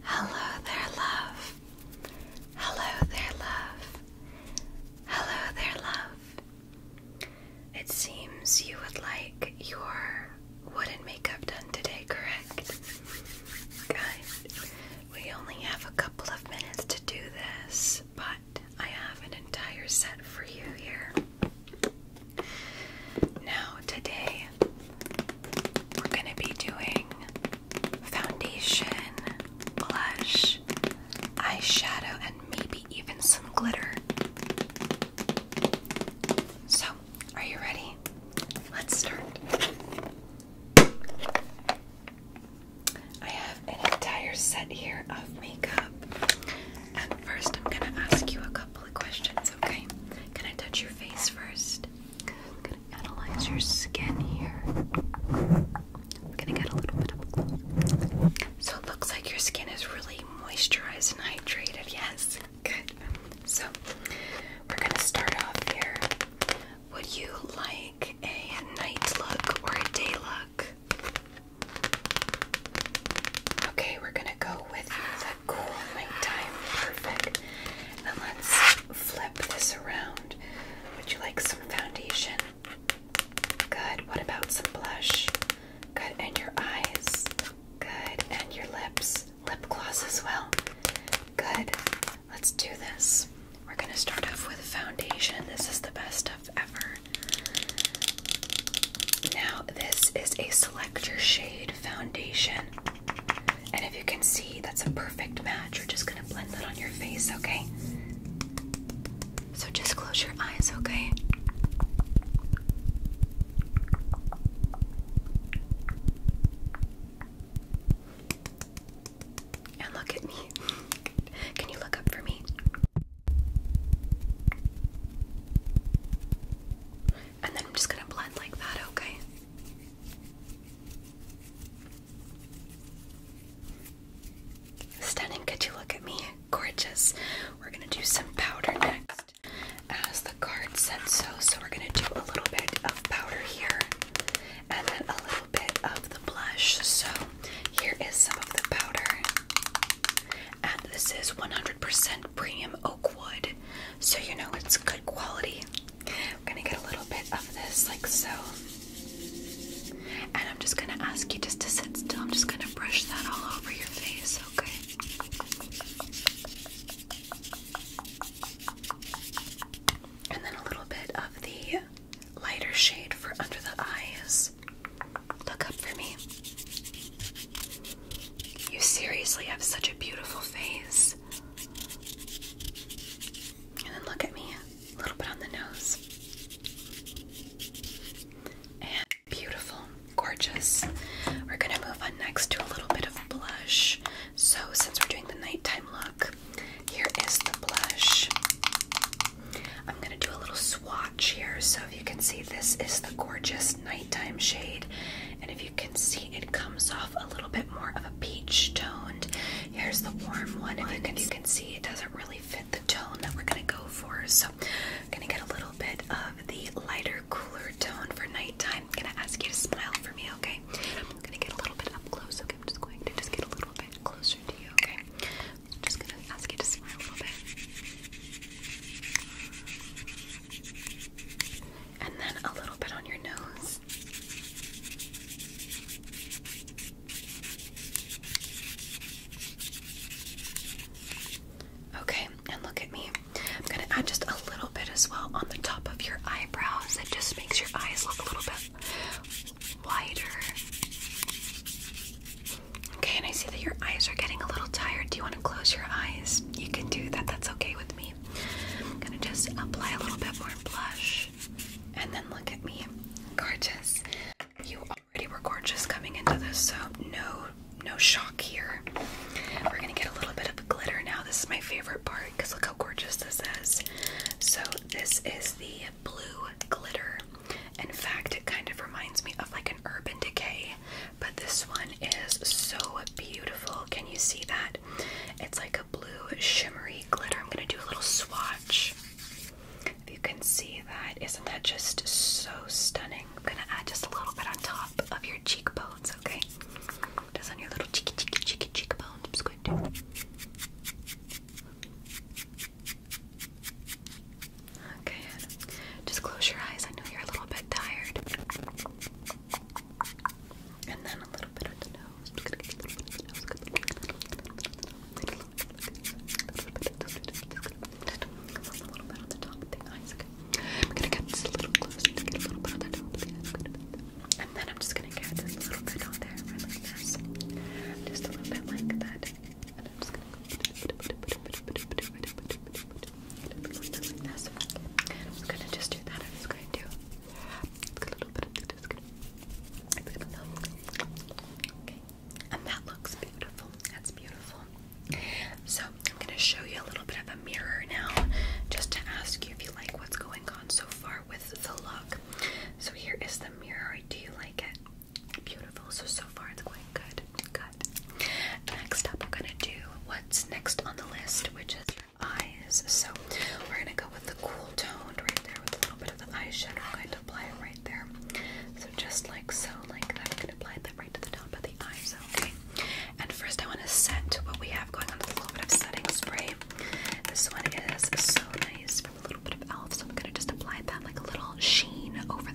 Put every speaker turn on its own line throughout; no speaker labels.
Hello there, love. Hello there, love. Hello there, love. It seems you would like your wooden makeup done today, correct? Good. We only have a couple of minutes to do this, but I have an entire set for you here. Now, today we're going to be doing foundation, blush, eyeshadow, and maybe even some glitter. So, are you ready? Let's start. I have an entire set here of makeup. And first, I'm going to ask you a couple couple of questions, okay? Can I touch your face first? I'm gonna analyze your skin here. I'm gonna get a little bit up close. So it looks like your skin is really moisturized and hydrated, yes? Good. So we're gonna start off here. Would you like a night look or a day look? Okay, we're gonna go with the cool nighttime perfect. And let's flip this around. Would you like some foundation? Good. What about some blush? Good. And your eyes? Good. And your lips? Lip gloss as well? Good. Let's do this. We're gonna start off with foundation. This is the best stuff ever. Now, this is a select your shade foundation. And if you can see, that's a perfect match. We're just going to blend that on your face, okay? So just close your eyes, okay? And look at me. Can you look up for me? and then I'm just gonna blend like that, okay? Stunning, could you look at me? Gorgeous. We're gonna do some powder next. As the card said so, so we're gonna do a little bit of powder here and then a little bit of the blush. So here is some of the powder. And this is 100% premium oak wood, so you know it's good quality. I'm gonna get a little bit of this, like so. And I'm just gonna ask you just to sit still. I'm just gonna brush that all over your face, okay? And then a little bit of the lighter shade for under the eyes. Look up for me. You seriously have such a beautiful face. And then look at me, a little bit on the nose. And beautiful, gorgeous. We're going to move on next to a little bit of blush. So, since we're doing the nighttime look, here is the blush. I'm going to do a little swatch here. So, if you can see, this is the gorgeous nighttime shade. And if you can see, it comes off a little bit more of a peach toned. Here's the warm one. If you can, see, it doesn't really fit the tone that we're going to go for. So I'm going to get a little bit of the lighter, cooler tone for nighttime. I'm going to ask you to smile for me, okay? I'm going to get a little bit up close, okay? I'm just going to just get a little bit closer to you, okay? I'm just going to ask you to smile a little bit. And then a little bit on your nose. Okay, and look at me. I'm going to add just a little bit as well on the top of your eyebrows. It just makes your eyes look a little bit wider. Okay, and I see that your eyes are getting a little tired. Do you want to close your eyes? You can do that. That's okay with me. I'm going to just apply a little bit more blush and then look at me. Gorgeous. You already were gorgeous coming into this, so no no shock here. We're going to get a little bit of glitter now. This is my favorite part because look how gorgeous this is. So this is the blue glitter. In fact, it kind of reminds me of like an Urban Decay but this one is so beautiful. Can you see that? It's like a blue shimmery glitter. I'm going to do a little swatch. If you can see that, isn't that just so stunning? I'm going to add just a little bit on top of your cheekbones, okay? Just on your little cheeky, cheeky, cheeky cheekbone. I'm just Okay, just close your eyes. I know you're a little bit tired. And then a little bit of the nose. Just a little bit on the top of the eyes. Okay. I'm gonna get this a little closer to get a little bit of the eyes. And then I'm just gonna get this little bit on there, right like this. Just a little bit like that. And I'm just gonna I'm gonna just do that. I'm just gonna a little bit of this. Okay. And that looks beautiful. That's beautiful. So I'm gonna show you a little bit of a mirror now, just to ask you if you like what's going on so far with the look. So here is the mirror. Do you like it? Beautiful. So so far it's going good. Good. Next up, we're gonna do what's next on the list, which is your eyes. So we're gonna go with the cool toned right there with a little bit of the eyeshadow. I'm going to apply it right there. So just like so, like that. I'm gonna apply that right to the top of the eyes. Okay. And first, I want to set what we have going on with a little bit of setting spray. This one is so nice from a little bit of e.l.f. So I'm gonna just apply that like a little sheen over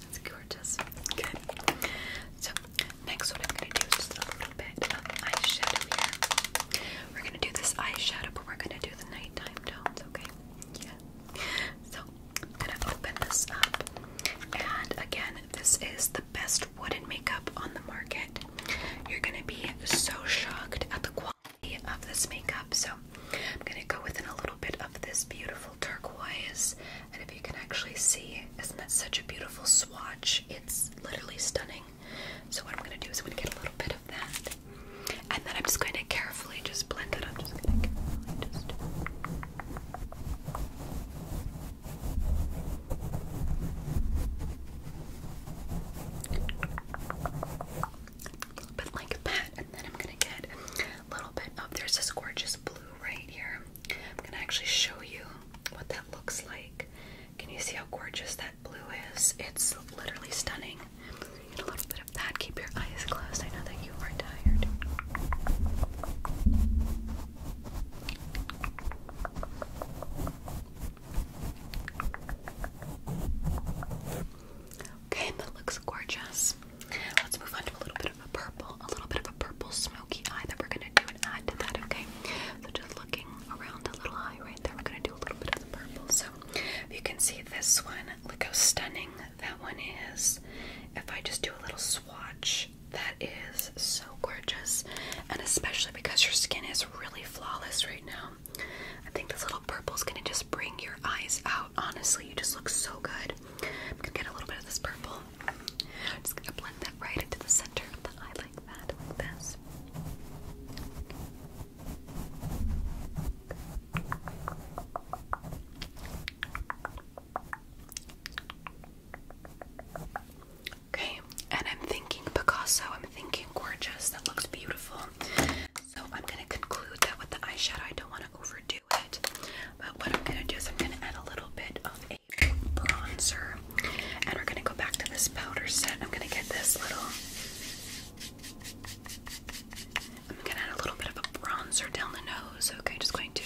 That's gorgeous. Good. So next, what I'm gonna do is just a little bit of eyeshadow here. We're gonna do this eyeshadow, but we're gonna do the nighttime tones, okay? Yeah. So I'm gonna open this up, and again, this is the best wooden makeup on the market. You're gonna be so shocked at the quality of this makeup. So I'm going to go within a little bit of this beautiful turquoise. And if you can actually see, isn't that such a beautiful swatch? It's literally stunning. So what I'm going to do is I'm going to get a little bit of that. And then I'm just going to carefully just blend it. I'm just going to carefully just... But like that, and then I'm gonna get little bit of there's this gorgeous blue right here. I'm gonna actually show you what that looks like. Can you see how gorgeous that blue is? It's literally stunning. a little bit of that. Keep your eyes closed. I know that you are tired. Okay, that looks gorgeous. Let's move on a little bit of a purple, a little bit of a purple smoky eye that we're gonna do and add to that, okay? So just looking around the little eye right there, we're gonna do a little bit of the purple. So you can see this one, look how stunning that one is. If I just do a little swatch, that is so gorgeous. And especially because your skin is really flawless right now. I think this little purple is gonna just bring your eyes out. Honestly, you just look so good. I'm gonna get a little bit of this purple. just gonna blend that right into the center of the eye like that, this. Okay, and I'm thinking Picasso, I'm thinking gorgeous, that looks beautiful. So I'm going to conclude that with the eyeshadow. I don't want to overdo it. But what I'm going to do is I'm going to add a little bit of a bronzer. And we're going to go back to this powder set. I'm going to get this little... I'm going to add a little bit of a bronzer down the nose. Okay, just going to...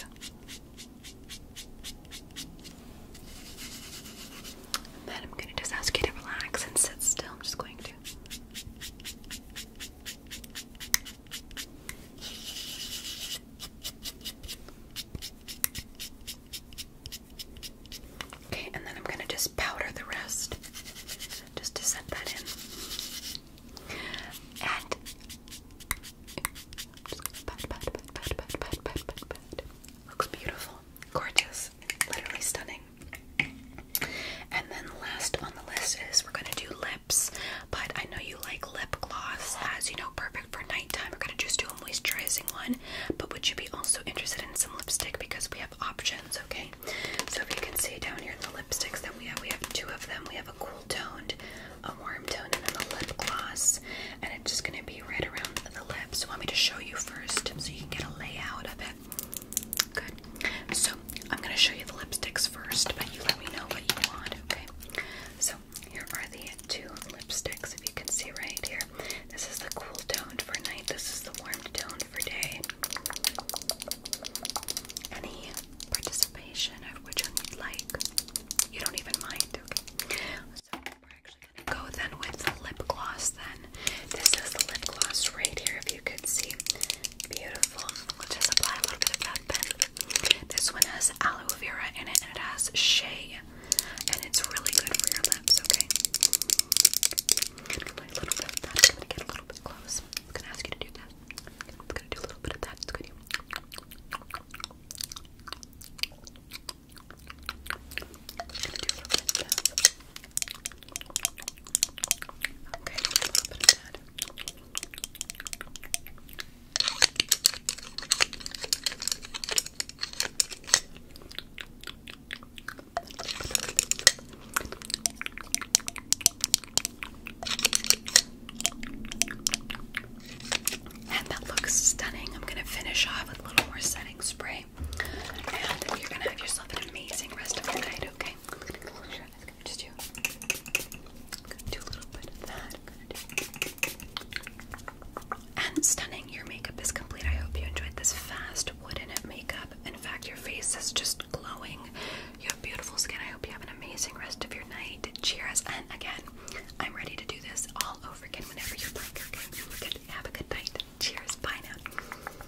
then I'm going to just ask you to relax and sit still. I'm just going to... Okay, and then I'm going to just powder the rest just to set that in. And beautiful, gorgeous, literally stunning. And then last on the list is we're gonna do lips, but I know you like lip gloss as you know, perfect for nighttime. We're gonna just do a moisturizing one, but would you be also interested in some lipstick because we have options, okay? So if you can see down here in the lipsticks that we have, we have two of them. We have a cool toned, a warm tone, and then the lip gloss, and it's just gonna be right around the lips. So want me to show you first so you can get a layout of it? Good. So I'm gonna show you the lipsticks first, but you let me know what you want, okay? So here are the two lipsticks, if you can see right here. This is the cool toned for night, this is the warm toned for day. Any participation of which one you'd like. You don't even mind, okay? So we're actually gonna go then with lip gloss then. This is the lip gloss right here, if you you could see. Beautiful. We'll just apply a little bit of that This one has aloe vera in it and it has shea. And it's really good for your lips, okay? I'm get a little bit close. I'm gonna ask you to do that. I'm gonna do a little bit of that. Okay, And that looks stunning. I'm going to finish off with a little more setting spray. And you're going to have yourself an amazing rest of your night, okay? i And stunning, your makeup is complete. I hope you enjoyed this fast wooden makeup. In fact, your face is just glowing. You have beautiful skin. I hope you have an amazing rest of your night. Cheers, and again, I'm ready to do this all over again whenever you're like. Have a good night. Cheers. Bye now.